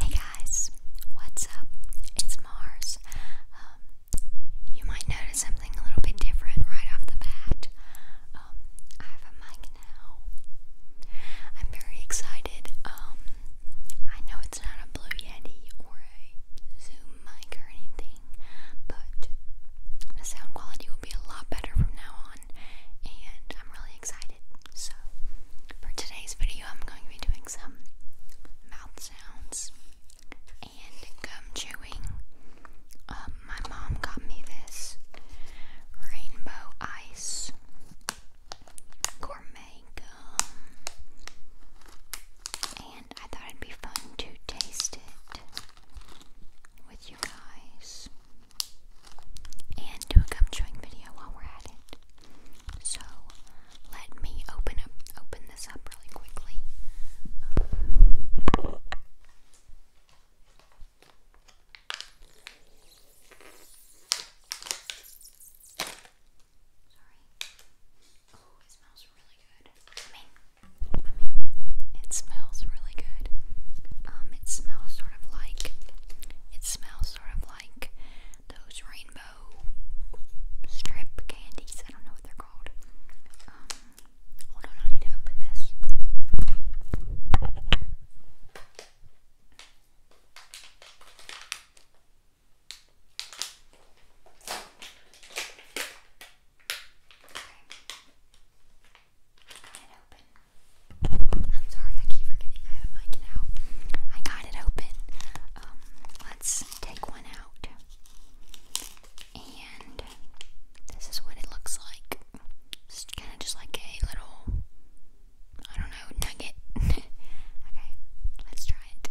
Hey guys, what's up? It's Mars. Um, you might notice something a little bit different right off the bat. Um, I have a mic now. I'm very excited. Um, I know it's not a Blue Yeti or a Zoom mic or anything, but the sound quality will be a lot better from now on, and I'm really excited. So, for today's video, I'm going to be doing some mouth sounds and gum chewing. Um, my mom got me this rainbow ice gourmet gum, and I thought it'd be fun to taste it with you guys and do a gum video while we're at it. So let me open up, open this up really quickly. Oh, it smells really good. I mean, I mean, it smells really good. Um, it smells sort of like, it smells sort of like those rainbow strip candies. I don't know what they're called. Um, hold I need to open this. I'm sorry, I keep forgetting I have a mic now. I got it open. Um, let's take one out. And this is what it looks like. kind of just like a little, I don't know, nugget. okay, let's try it.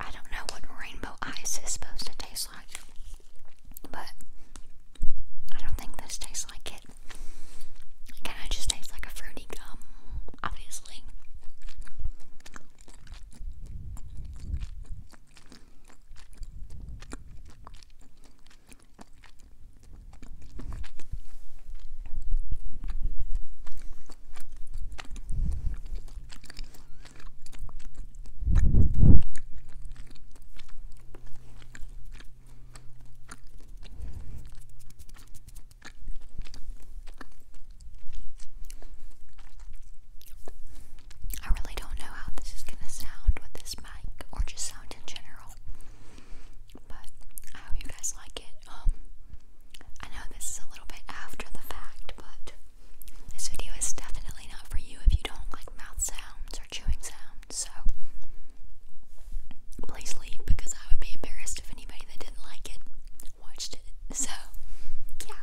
I don't know what rainbow ice is supposed to taste like, but I don't think this tastes like it. kind of just tastes like a fruity gum, obviously. I really don't know how this is gonna sound with this mic or just sound in general. But I hope you guys like it. Um, I know this is a little bit after the fact, but this video is definitely not for you if you don't like mouth sounds or chewing sounds, so please leave because I would be embarrassed if anybody that didn't like it watched it. So, yeah.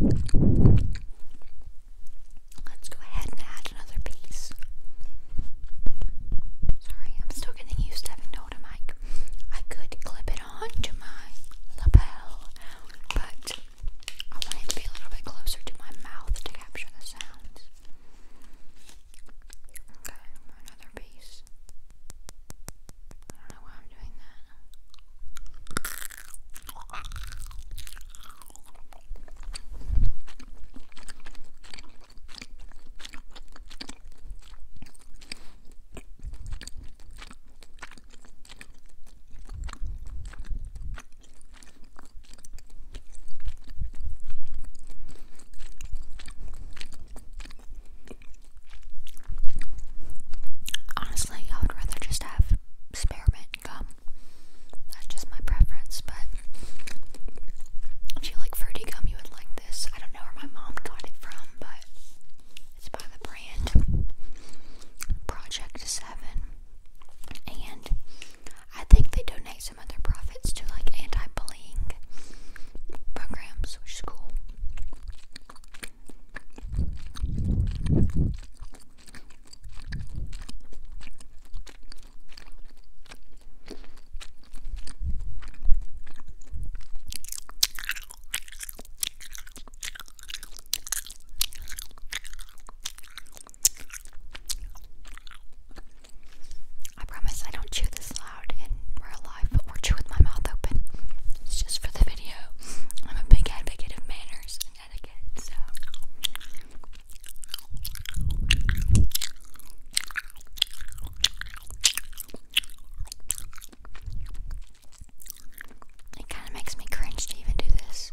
Let's go ahead and add another piece. Sorry, I'm still getting used to having a mic. I could clip it onto my lapel, but I want it to be a little bit closer to my mouth to capture the sounds. Okay, another piece. I don't know why I'm doing that. Honestly, I would rather just have spearmint gum. That's just my preference, but if you like fruity gum, you would like this. I don't know where my mom got it from, but it's by the brand Project 7. And I think they donate some of their profits to like anti bullying programs, which is cool. I promise I don't chew this loud in real life, but we my mouth open. It's just for the video. I'm a big advocate of manners and etiquette, so. It kind of makes me cringe to even do this.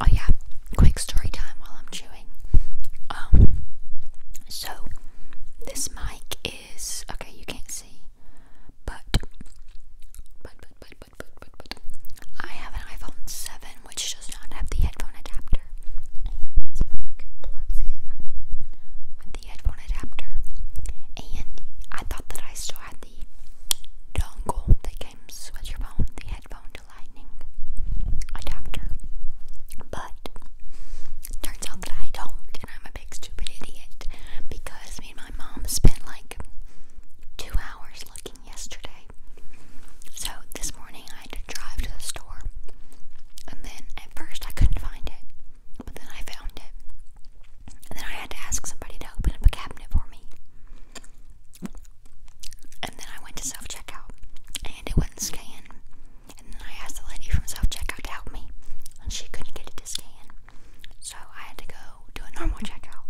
Oh yeah, quick story time while I'm chewing. Um so this mic is okay, you can't see. But but but but I have an iPhone 7 which does not have the headphone adapter. This mic plugs in with the headphone adapter, and I thought that I still had the dongle that comes with your phone, the headphone to lightning adapter, but turns out that I don't, and I'm a big stupid idiot because me and my mom spent like two hours looking yesterday. So this morning I had to drive to the store. And then at first I couldn't find it. But then I found it. And then I had to ask somebody to open up a cabinet for me. And then I went to self checkout. And it wouldn't scan. And then I asked the lady from self checkout to help me. And she couldn't get it to scan. So I had to go do a normal checkout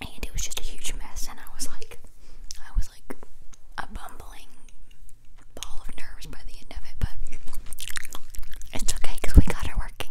and it was just a huge mess and I was like I was like a bumbling ball of nerves by the end of it but it's okay because we got her working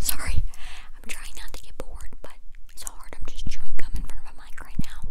Sorry, I'm trying not to get bored, but it's hard. I'm just chewing gum in front of a mic right now.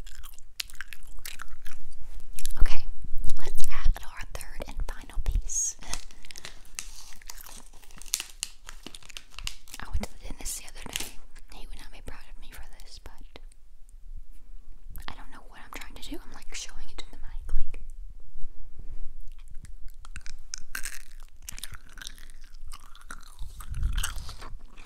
Okay, let's add our third and final piece. I went to the dentist the other day. He would not be proud of me for this, but I don't know what I'm trying to do. I'm like showing it to the mic, like.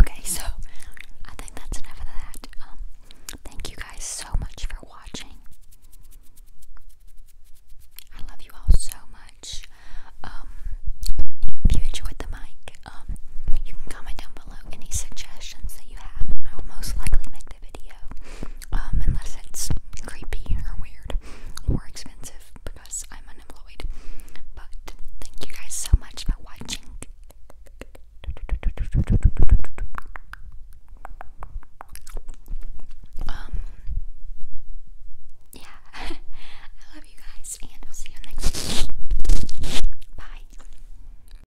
Okay, so I think that's enough of that. Um, thank you guys so much for watching. I love you all so much. Um, if you enjoyed the mic, um, you can comment down below any suggestions that you have. I will most likely make the um, unless it's creepy or weird or expensive because I'm unemployed. But thank you guys so much for watching. Um, yeah, I love you guys, and I'll see you next. Bye.